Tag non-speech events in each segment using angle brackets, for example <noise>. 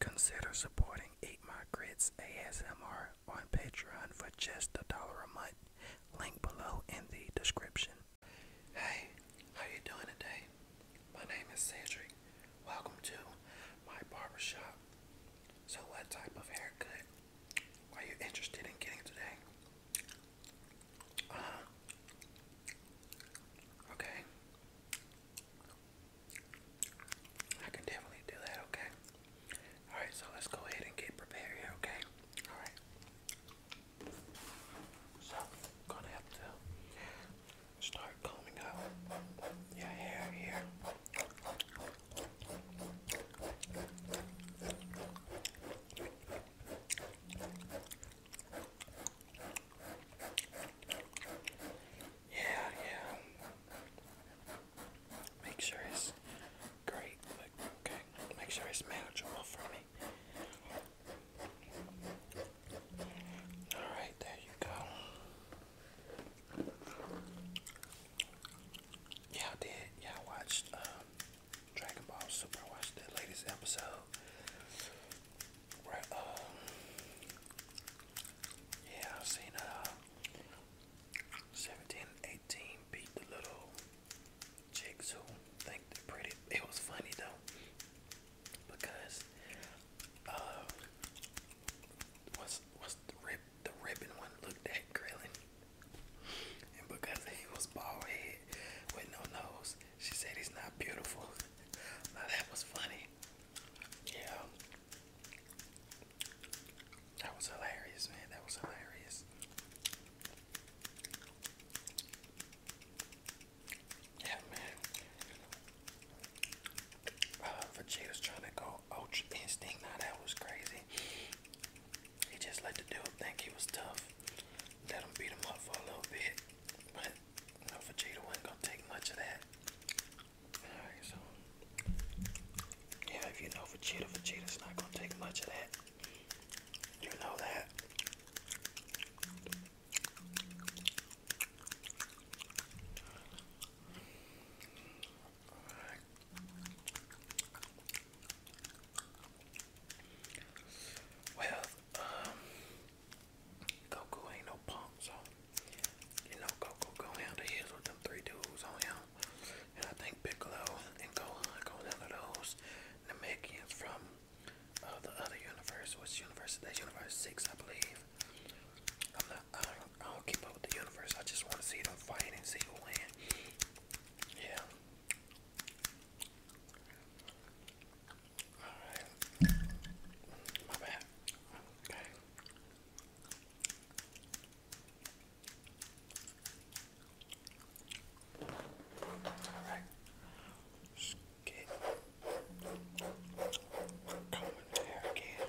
Consider supporting Eat My Grits ASMR on Patreon for just a dollar a month. Link below in the description. Hey, how you doing today? My name is Cedric. Welcome to my barbershop. So what type of haircut are you interested in getting today? Uh Okay. I can definitely do that, okay? Alright, so let's go ahead and get prepared okay? Alright. So, gonna have to start combing out your hair here. Yeah, yeah. Make sure it's great, but okay. Make sure it's manageable for me. Alright, there you go. Yeah, I did. Yeah, I watched um, Dragon Ball Super. I watched the latest episode. Um, yeah, I've seen uh, 17, beat the little chicks who think they're pretty. It was funny though, because uh, what's what's the rib the ribbon one looked at grilling, and because he was bald head with no nose, she said he's not beautiful. <laughs> now that was funny. Yeah. That was hilarious, man. That was hilarious. Yeah, man. Uh, Vegeta's trying to go Ultra Instinct. Now that was crazy. He just let the dude think he was tough. Let him beat him up for a little bit. But no, Vegeta gonna take much of that. yeah, if you know Vegeta, Vegeta's not gonna take much of that. You know that. Well, um, Goku ain't no punk, so you know Goku go down to his with them three dudes on him. And I think Piccolo and Gohan go down to those Namekians from uh, the other universe. Which universe is Universe 6, I believe. i I don't keep up with the universe. I just want to see them fight and see who win. Yeah. Alright. My bad. Okay. Alright. Just get coming there again.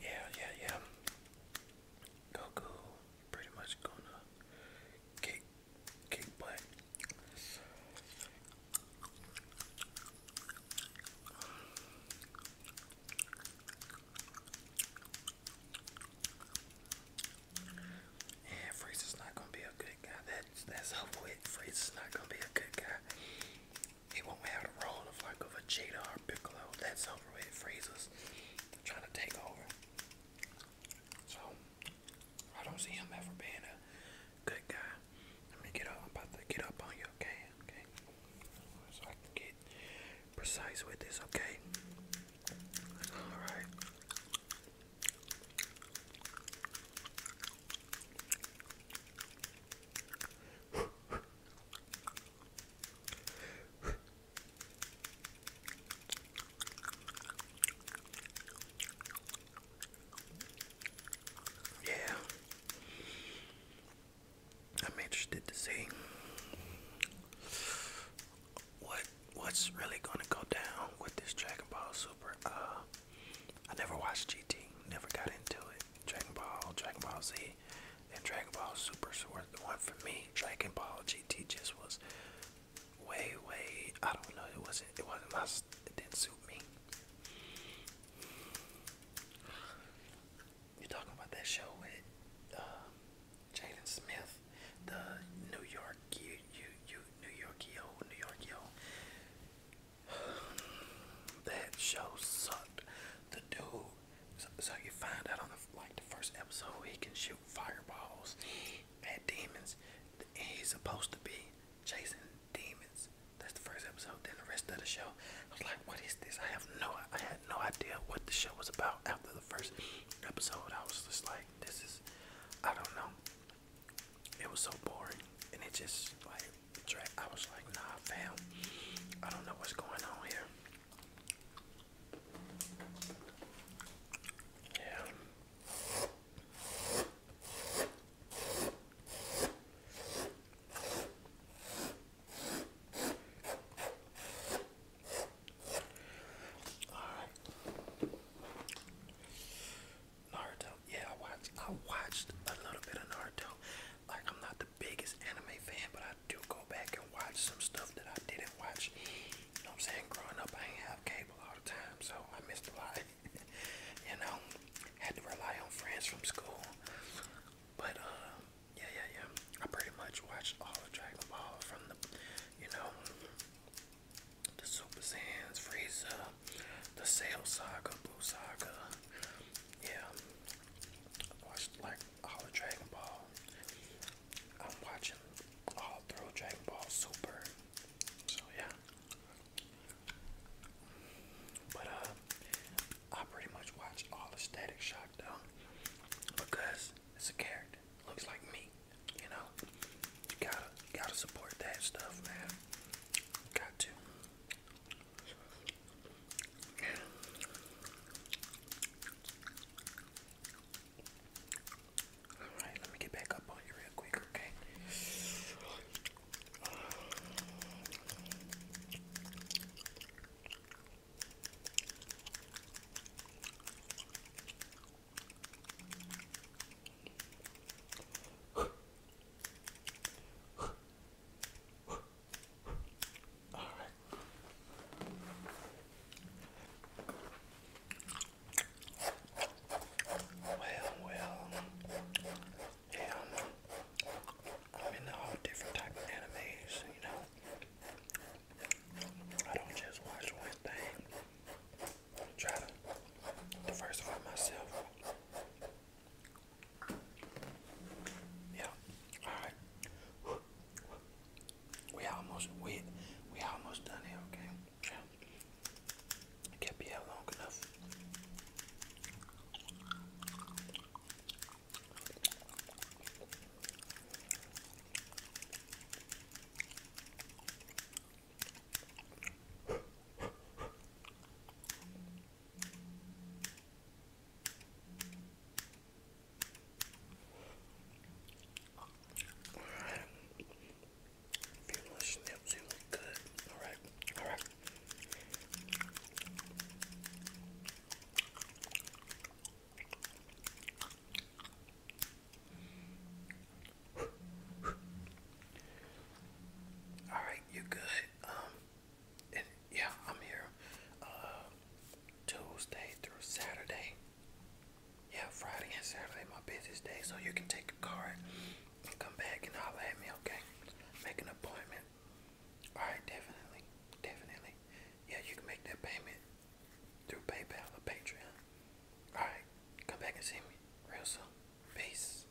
Yeah, yeah, yeah. Goku pretty much gonna kick kick butt. And Frieza's not gonna be a good guy. That's that's how it. Frieza's not gonna be a good guy. He won't have the role of like of a Jada or Piccolo. That's over with. Freezes trying to take over. So I don't see him ever being a good guy. Let me get up. I'm about to get up on you, okay? Okay. So I can get precise with this, okay? All right yeah, I'm interested to see what what's really gonna go down with this Dragon Ball Super. Uh, I never watched GT, never got into it. Dragon Ball, Dragon Ball Z, and Dragon Ball Super Sword the one for me. Dragon Ball GT just was way, way I don't know. It wasn't. It wasn't my. It didn't suit me. You're talking about that show with uh, Smith, the New York you you you New York yo New York that show sucked. The dude, so, you find out on the, like the first episode he can shoot fireballs at demons. He's supposed to be chasing demons. That's the first episode. Then the rest of the show, I was like, "What is this?" I have no, I had no idea what the show was about after the first episode. I was just like, "This is, I don't know." It was so boring, and it just like I was like, nah, fam, I don't know what's going on here. Yeah. All right. Naruto yeah, I watched I watched a little bit of Naruto. Like I'm not the biggest anime fan, but I do go back and watch some stuff that I didn't watch. You know what I'm saying? Growing up I ain't have cable all the time, so I missed a lot. <laughs> you know, had to rely on friends from school. But uh yeah, yeah, yeah. I pretty much watched all of Dragon Ball from the you know the Super Saiyans, Frieza, the Sale Saga, Blue Saga. Yeah, watched like all of Dragon Ball. I'm watching all through Dragon Ball Super. So yeah. But uh, I pretty much watch all the Static Shock though, because it's a character, looks like me. You know, gotta gotta support that stuff, man. Got to. Alright, let me get back up on you real quick, okay? Well, well, yeah, I'm, I'm different type of animes, you know. I don't just watch one thing. I try to diversify myself. Yeah. All right. We almost we we almost done here. Okay. Yeah. I can't out long enough. Alright. People are snips, you look good. Alright, alright. All right, you're good. Um, and yeah, I'm here uh, Tuesday through Saturday. Yeah, Friday and Saturday, my busiest day. So you can take a card and come back and holler at me, okay? Make an appointment. Alright, definitely. Definitely. Yeah, you can make that payment through PayPal or Patreon. Alright, come back and see me real soon. Peace.